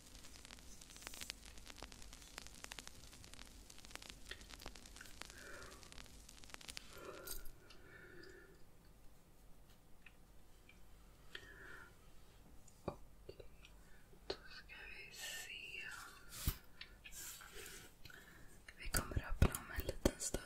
Och då ska vi se. Vi kommer att öppna om en liten stund.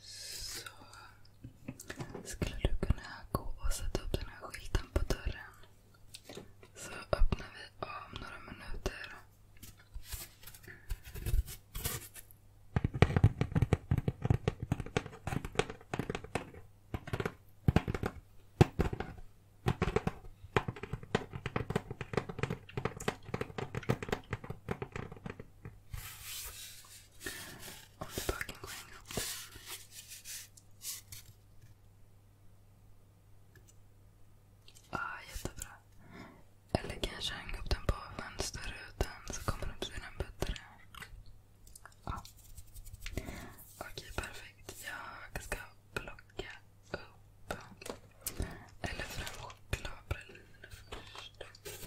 Så skulle du kunna gå och sätta upp den här skylten på dörren. Så öppnar vi om några minuter. Om böken går inåt. Ja, jättebra. Eller kanske hänga upp den på fönsterrutan så kommer den bli den bättre. Okej, perfekt. Jag ska plocka upp eller fram chokladpraliner först.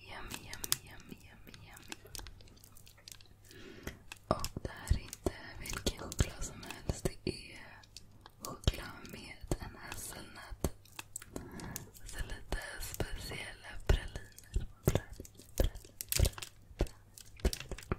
Yummy, yummy, yummy, yummy, yummy. Och det här är inte vilken choklad som helst. Det är choklad med en hasselnöt. Så lite speciella praliner. praliner, praliner, praliner, praliner.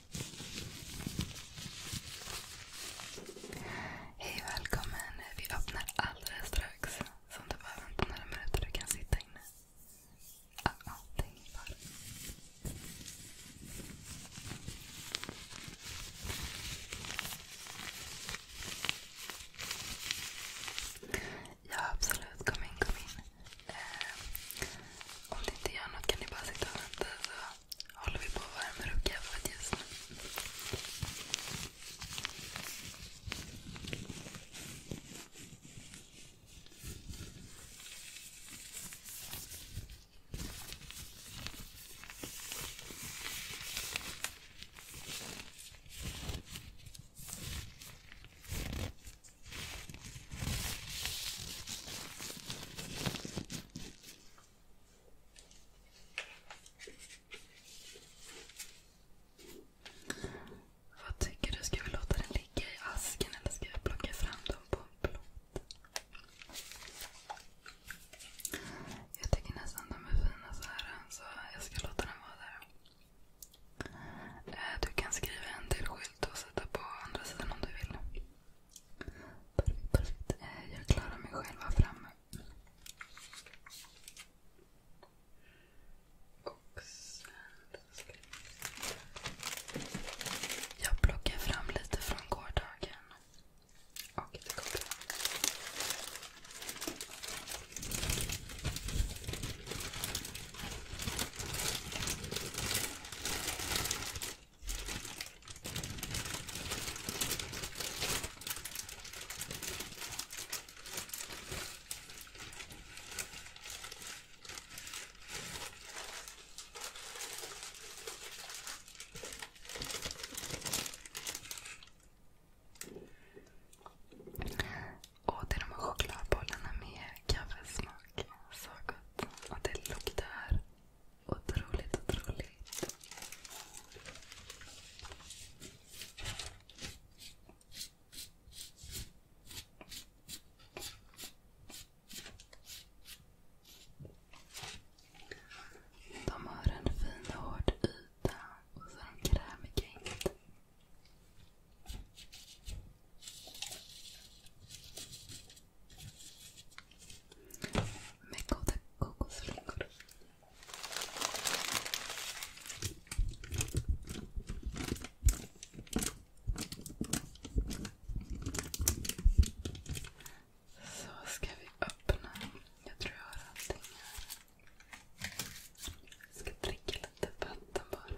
Hej välkommen. Vi öppnar alldeles strax. Så om du behöver vänta några minuter du kan sitta inne. Ah, ah, Ja, absolut. Kom in, kom in. Eh, om det inte gör något kan ni bara sitta och vänta. Så håller vi på att värma upp kaffet just nu. Vad tycker du? Ska vi låta den ligga i asken eller ska vi plocka fram dem på en plåt? Jag tycker nästan de är fina så här. Så jag ska låta den vara där. Eh, du kan skriva en till skylt och sätta på andra sidan om du vill. Perfekt, perfekt. Eh, jag klarar mig själv här framme. Och sen ska vi Jag plockar fram lite från gårdagen. Och det kommer fram. Och det är de här chokladbollarna med kaffesmak. Så gott. Och det luktar Otroligt, otroligt. De har en fin hård yta och så har de krämig kring. Med goda kokosflingor. Så ska vi öppna. Jag tror jag har allting här. Jag ska dricka lite vatten bara.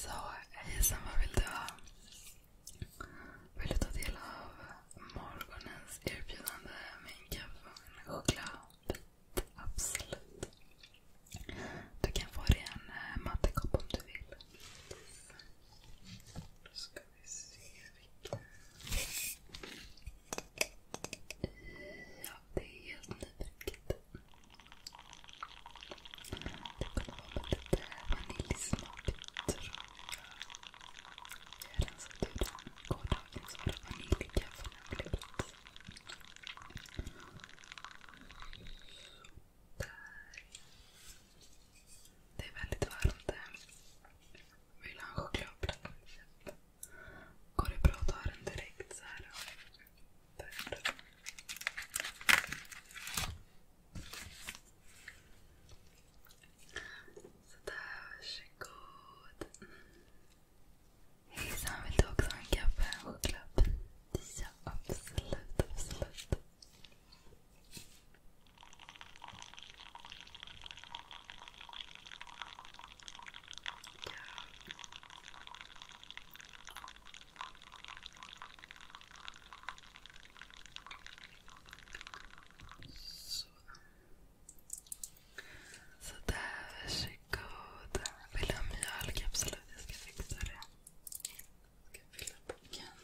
Så hejsan, vad vill du ha? Vill du ta del av morgonens erbjudande med en kaffe och en chokladbit? Absolut. Du kan få dig en eh, mattekopp om du vill. Då ska vi se vilken... Ja, det är helt nybruket. Det kunde vara lite vaniljsmak, tror jag. Jag har rensat den gårdagen så var det vaniljkaffe när jag Det är väldigt varmt. Vill ha en chokladplatta Går det bra att ta den direkt så Sådär, varsågod. Hejsan, vill du också ha en kaffe? En choklad? absolut, absolut. Så. Så där, varsågod. Vill du ha mjölk? Absolut, jag ska fixa det. Jag ska fylla boken.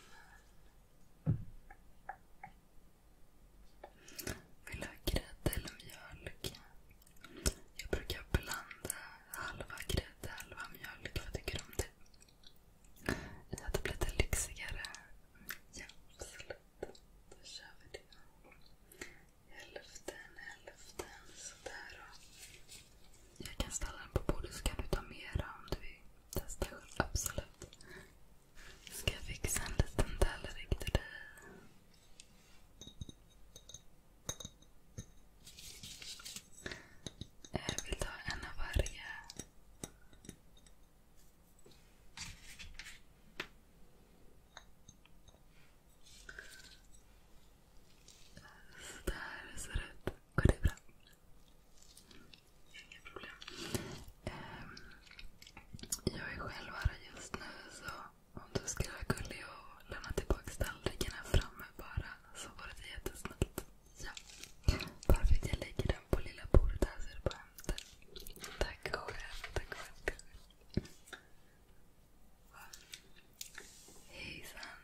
Vill du ha grädde eller mjölk? Jag brukar blanda halva grädde, halva mjölk. Vad tycker du om det? Ja, det blir lite lyxigare. Ja, absolut. Då kör vi det. Hälften, hälften. Sådär. Jag kan ställa den på bordet så kan du ta mera om du vill testa själv. Absolut. Ska jag fixa en liten tallrik till dig? Jag vill ta en av varje. Så ser det ut. Går det bra? Inga problem. Ehm, jag är själv här just nu så hon skulle vara gullig och lämna tillbaka tallrikarna framme bara. Så var det jättesnällt. Ja. Perfekt. Jag lägger den på lilla bordet här så du bara hämtar. Tack själv. Tack själv. Hejsan.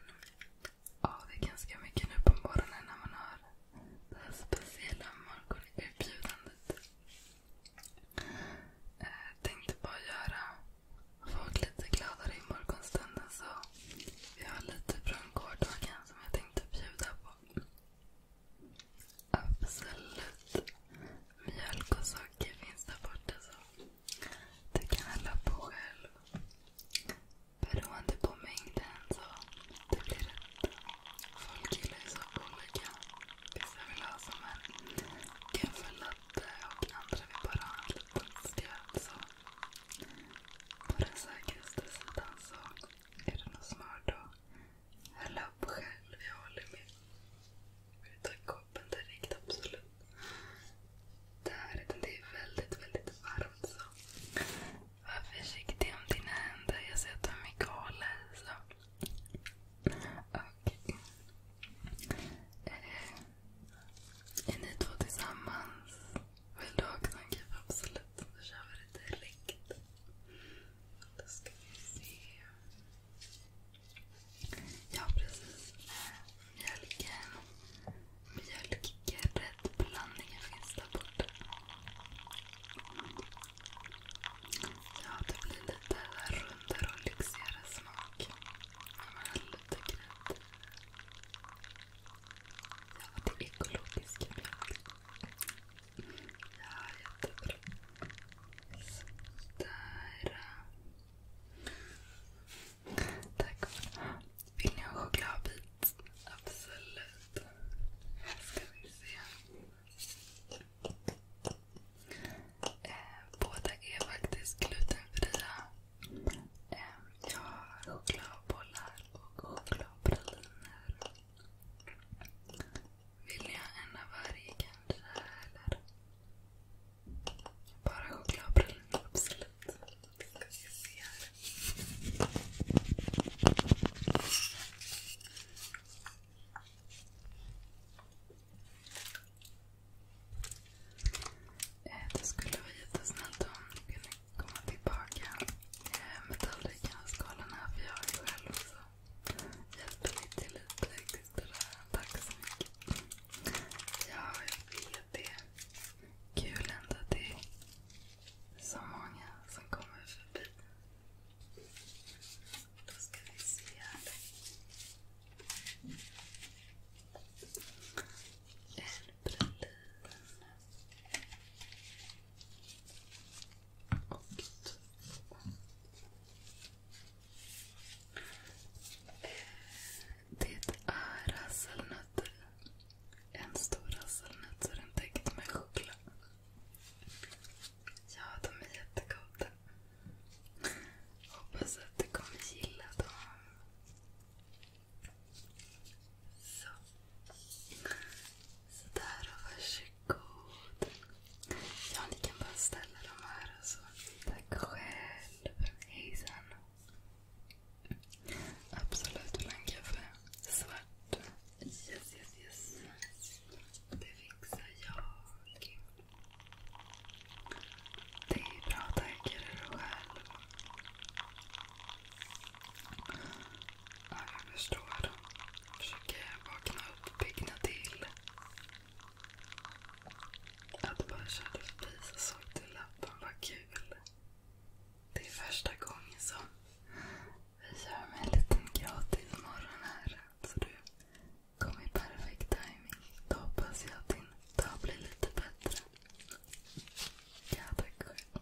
Ja, det är ganska mycket nu på morgonen när man har det här speciella morgonerbjudandet. Eh, tänkte bara göra folk lite gladare i morgonstunden. Så vi har lite från gårdagen som jag tänkte bjuda på. Absolut. Mjölk och socker finns där borta. så Du kan hälla på själv. Beroende på mängden så det blir rätt. Folk gillar ju så olika vissa vill ha som en kaffelatte och andra vill bara ha en liten skvätt. Så på den säkraste sidan så är det nog smart att hälla upp själv. Jag håller med. Vi tar koppen direkt, absolut. Det här det är väldigt, väldigt varmt. så Var försiktig om dina händer. Jag ser att du har mycket hål här. Så. Och, eh, är ni två tillsammans? Vill du också en Absolut. Då kör vi det direkt. Då ska vi se. Ja, precis. Mjölken. Mjölkrättblandningen finns där borta. Ja, det blir lite rundare och lyxigare smak. När man har lite grädde. Ja, det är ekologisk mjölk. Ja, jättebra. Sådär. Tack. Vill ni ha chokladbit? Absolut. Här ska vi se. Eh, båda är faktiskt glutenfria. Eh, jag har chokladbollar och chokladpraliner. Vill jag en av varje kanske? Eller? Bara chokladpraliner, absolut. Ska vi se här. Eh, det skulle vara jättesnällt om du kunde komma tillbaka eh, med tallrikarna och skalarna för jag är själv så hjälper ni till lite. Tack så mycket. Ja, jag vet det. Kul ändå att det är så många som kommer förbi. Då ska vi se här. Elbrelin. Och två. Det är hasselnötter. En stor hasselnöt så är den täckt med choklad. Ja, de är jättegoda. Hoppas att du kommer gilla dem. Sådär, och varsågod. Ja, ni kan bara ställa dem här och så. Tack själv. Hejsan. Absolut blank kaffe. Svart. Yes, yes, yes. Det fixar jag. Det är bra, tänker du själv. Ja, jag förstår. försöker vakna upp, piggna till. Att bara köra förbi så såg du lappen, vad kul. Det är första gången som vi kör med en liten gratis morgon här. Så du kom i perfekt timing. Då hoppas jag att din dag blir lite bättre. Ja, tack själv.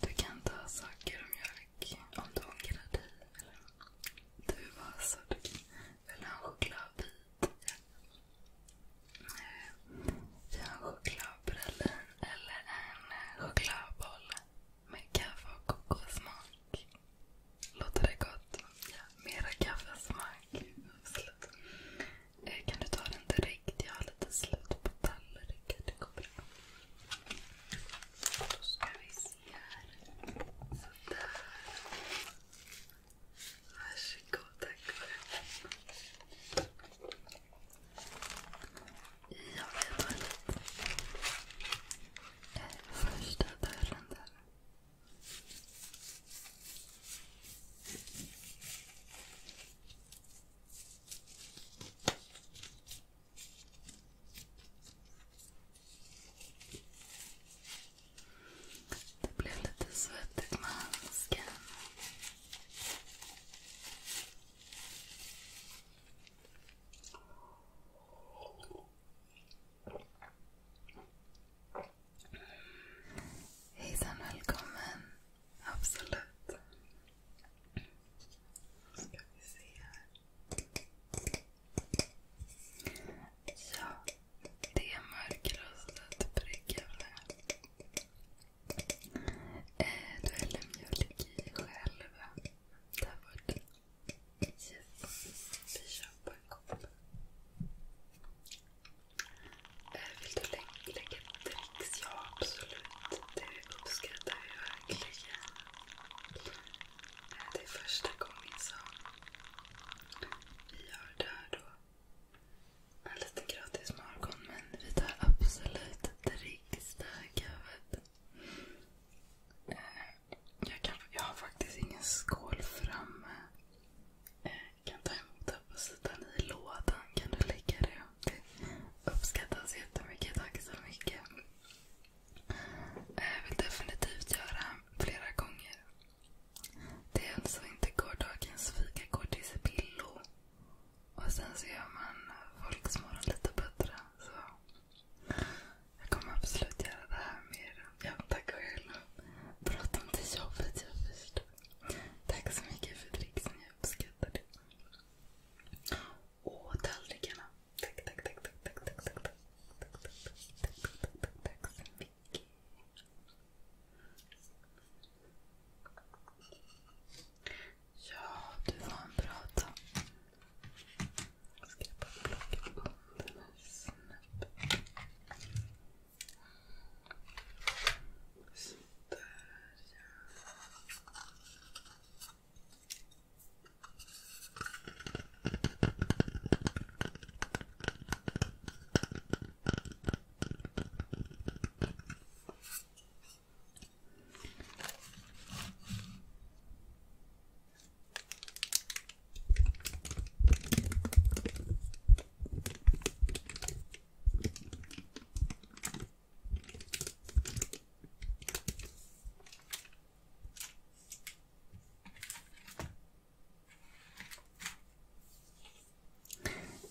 Du kan ta saker och mjölk om du ångrar dig. Eller duva, så du kan välja en chokladbit. Vi har en chokladpralin eller en chokladboll med kaffe och kokossmak. Låter det gott? Ja, mera kaffesmak. Eh, kan du ta den direkt? Jag har lite slut på tallriken. Då ska vi se här. Sådär. Varsågod, tack. Jag vet väl inte. Första dörren där. Det blev lite svettigt med handsken. Hejsan, välkommen. Absolut. Då ska vi se här. Ja, det är mörkrostat bryggävle. Eh, du häller mjölk i själv. Där borta. Vi kör på en kopp. Eh, vill du lägga dricks? Ja, absolut. Det uppskattar vi verkligen. Eh, det är första gången som vi gör det här då. En liten gratis morgon, men vi tar absolut dricks. Jag, har faktiskt ingen skål framme. Eh, kan ta emot det på sidan i lådan. Kan du lägga det? uppskattas jättemycket. Tack så mycket. Eh, vill definitivt göra flera gånger. Det är alltså inte gårdagens fika går spillo. Och sen så gör man folks morgon lite bättre. Så. Jag kommer absolut göra det här mer. Ja, tack själv. Prata om det jobbet jag förstår. Tack så mycket för dricksen. Jag uppskattar det. Åh, tallrikarna. Tack, tack, tack, tack, tack, tack, tack, tack, tack, tack, tack, tack, tack, tack så mycket. Ja, du var en bra dag. Ska jag bara plocka upp den här snabbt. Sådär ja.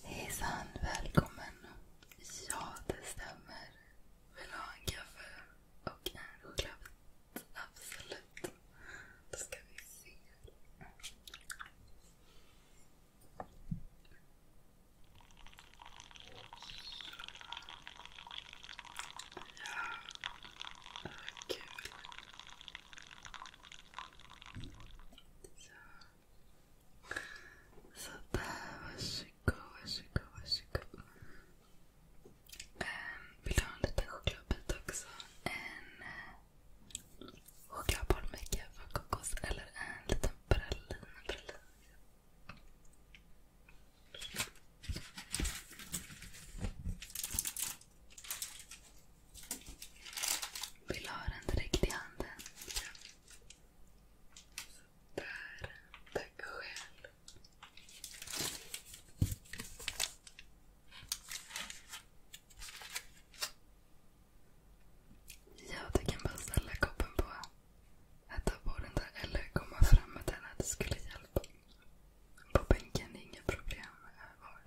Hejsan, välkommen. Ja, det stämmer. Vill du ha en kaffe och en chokladbit? Absolut. Då ska vi se. Ja, vad kul. Så. Sådär, varsågod, varsågod, varsågod. Ehm, vill du ha en liten chokladbit också? En eh, chokladboll med kaffekokos kokos eller en liten pralin. pralin. Vill du ha den direkt i handen? Där. Tack själv. Ja, du kan bara ställa koppen på att på den där eller komma fram med den. Att det skulle hjälpa. På bänken inga problem.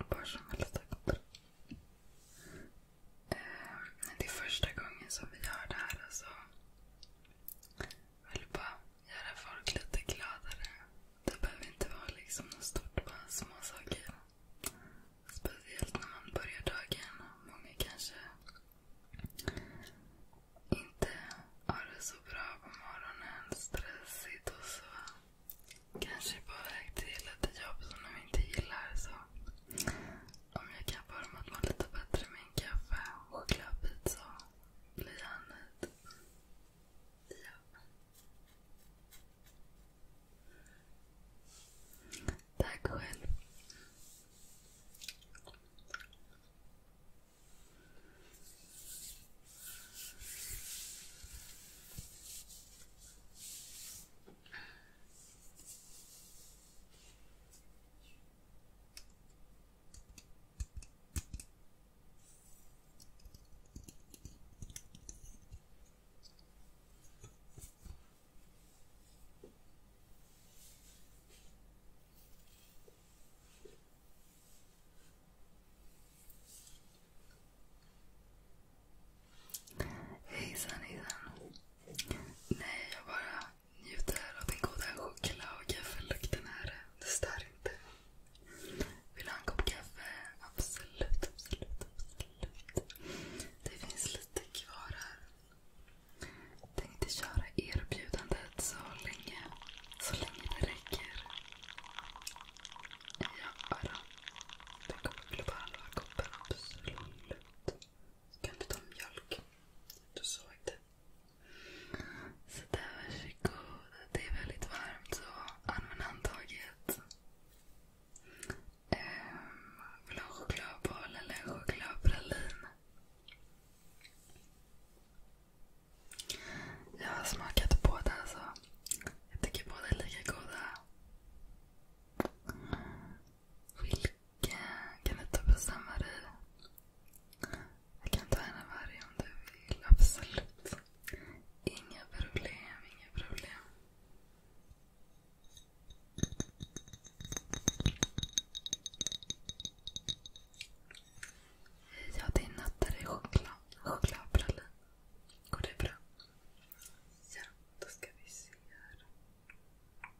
Var, som helst eh, det är första gången som vi gör det här. Alltså vill bara göra folk lite gladare. Det behöver inte vara liksom något stort, bara små saker. Speciellt när man börjar dagen och många kanske inte har det så bra på morgonen, stressigt och så. Kanske på väg till ett jobb som de inte gillar. så om jag kappar dem att må lite bättre med en kaffe och chokladbit så blir han nöjd. Ja. Tack själv. Hejsan hejsan. Nej, jag bara njuter av den goda choklad och kaffelukten här. Det stör inte. Vill du ha en kopp kaffe? Absolut, absolut, absolut. Det finns lite kvar här. Tänkte köra erbjudandet så länge, så länge det räcker. Ja, då. Det kommer bli på halva koppen, absolut. Ska inte ta mjölk? Du såg det. Så varsågod. Det är väldigt varmt så använd handtaget. Ehm, vill du ha en chokladboll eller en chokladpralin? Jag har smakat båda så jag tycker båda är lika goda. Och kan du ta bestämma dig? Jag kan ta en av varje om du vill. Absolut. Inga problem, inga problem. Ja, det är nötter i choklad. Chokladpralin. Går det bra? Ja, då ska vi se här.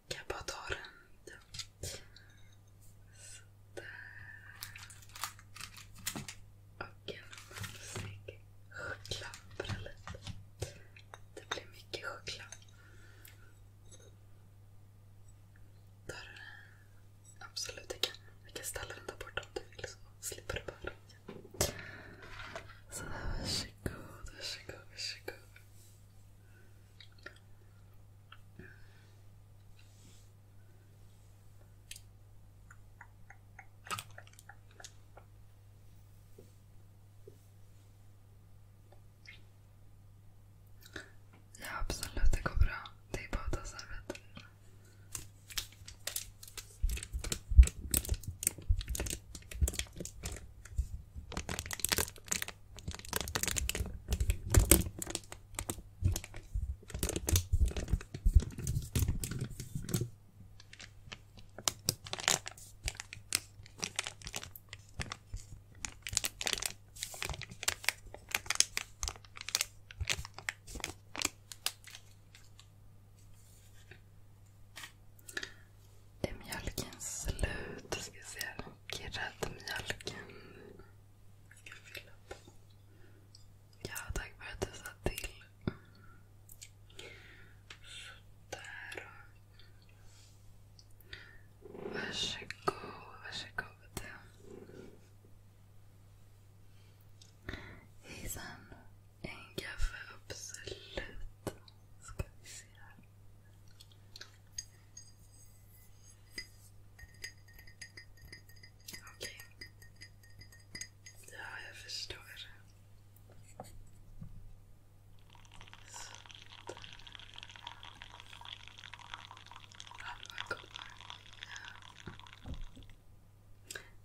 Kan jag bara ta den? Och en mumsig choklad Det blir mycket choklad. Tar du den? Absolut, jag kan, ställa den där borta om du vill så slipper du bara Sådär, varsågod, varsågod, varsågod. Ja, absolut. Det går bra. Det är bara att ta servetten. Det Är mjölken slut? Ska se och räddmjölken. Jag ska fylla på. Ja, tack för att du sa till. Sådär. Varsågod, varsågod. Hejsan. En kaffe, absolut. Ska vi se här. Okej. Ja, jag förstår. Sådär. Halva koppar.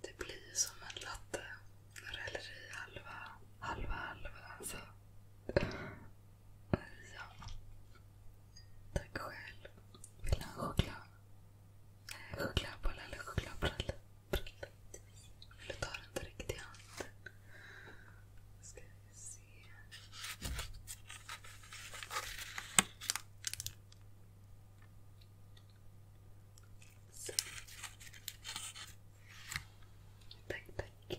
Det blir som en latte när du häller i halva, halva, halva. Så. Alltså. Ja. Tack själv. Vill du ha en choklad? Nej, chokladboll eller chokladprull? Vill du ta den direkt i handen? Ska vi se. Så. Tack, tack.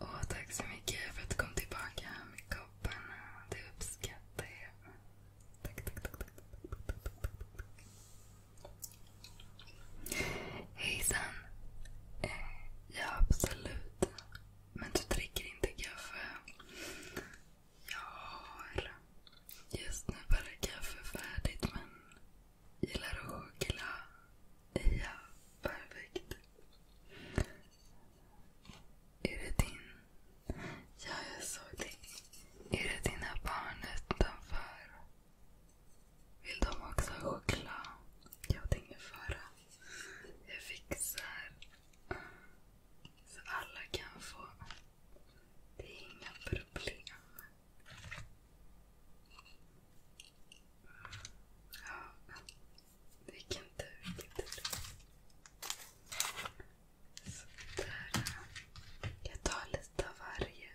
Åh, tack så mycket för att du kom tillbaka med kopparna. Det uppskattar jag. Tack, tack, tack. tack, tack, tack, tack, tack, tack. Hejsan. Eh, ja, absolut. Men du dricker inte kaffe? Jag har just nu bara kaffe färdigt men gillar att choklad. Ja, perfekt. Är det din... Ja, jag såg det. Är det dina barn utanför? Vill de också ha choklad? Ja, det är ingen fara. Jag fixar så alla kan få. Det är inga problem. Ja, vilken tur, vilken tur. Sådär. Jag tar lite av varje.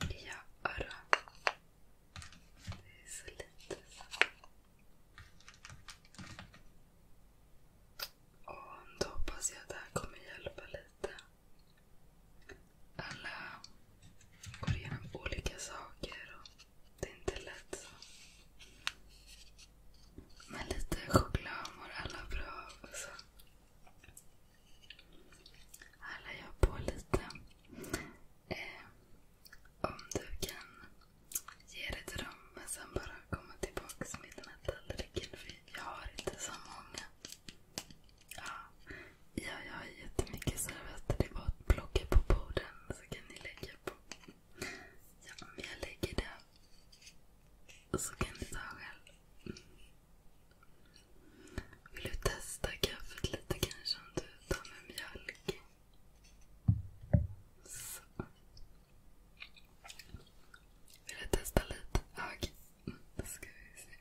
Ja, då. Det är så lite. Och då hoppas jag att det här kommer hjälpa lite. Alla går igenom olika saker och det är inte lätt. så. Men lite choklad mår alla bra av. Så. Här lär jag på lite. Eh, om du kan ge dig till dem men sen bara komma tillbaka med den här tallriken. För jag har inte så många. Ja, jag har jättemycket servetter. Det är bara att plocka på borden så kan ni lägga på. Ja, men jag lägger det. Så kan ni ta själv. Mm. Vill du testa kaffet lite kanske om du tar med mjölk? Så. Vill du testa lite? Ja, okej. Mm, då ska vi se.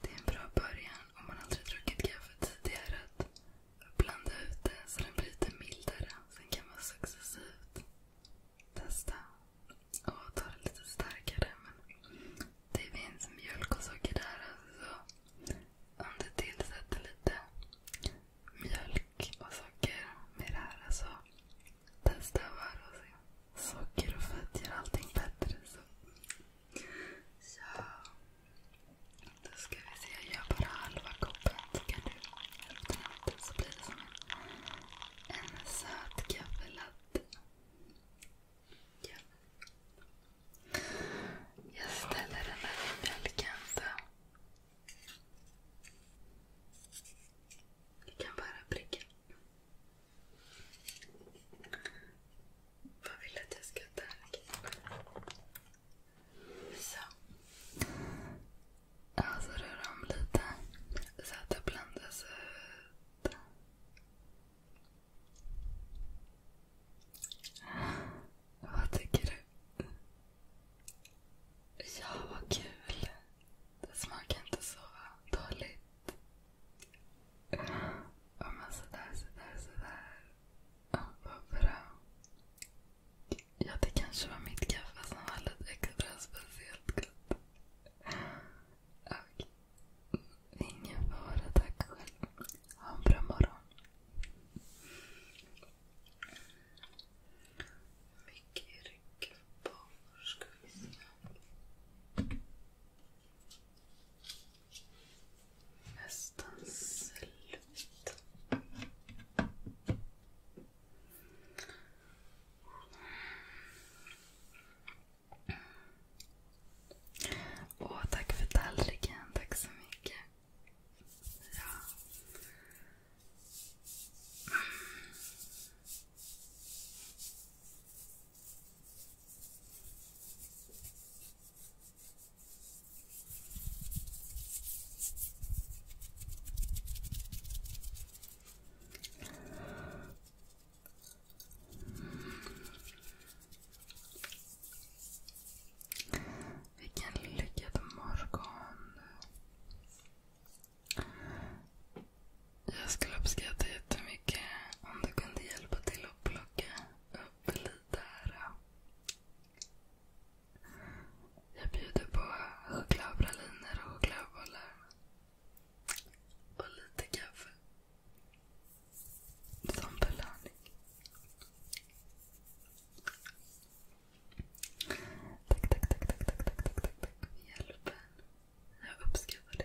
Det är en bra början om man aldrig druckit kaffe tidigare att blanda ut det så den blir lite mildare. Sen kan man successivt testa och ta det lite starkare. det finns mjölk och socker där. Alltså. om du tillsätter lite mjölk och socker med det här. Alltså, testa och se. Socker och fett gör allting bättre. Då ska vi se. Jag gör bara halva koppen. Så blir det som en, söt kaffelatte. Ja. Jag ställer den här i bjälken. Jag kan bara pricka. Vad vill du att jag ska ta? Så. Alltså rör om lite så att det blandas vad tycker du? Ja, vad kul. Det smakar inte så dåligt. Ja, men sådär, sådär, sådär. vad bra. Ja, det kanske var mitt kaffe som var lite extra speciellt gott. Och ingen fara, tack själv. Ha en bra morgon. Mycket ryck på. ska vi se. Nästan slut. Åh, tack för tallriken. Tack så mycket. Vilken lyckad morgon. Jag skulle uppskatta jättemycket om du kunde hjälpa till att plocka upp lite här. Jag bjuder på chokladpraliner och chokladbollar. Och lite kaffe. Som belöning. Tack, tack, tack, tack, tack, tack, tack, tack, tack Jag uppskattar det.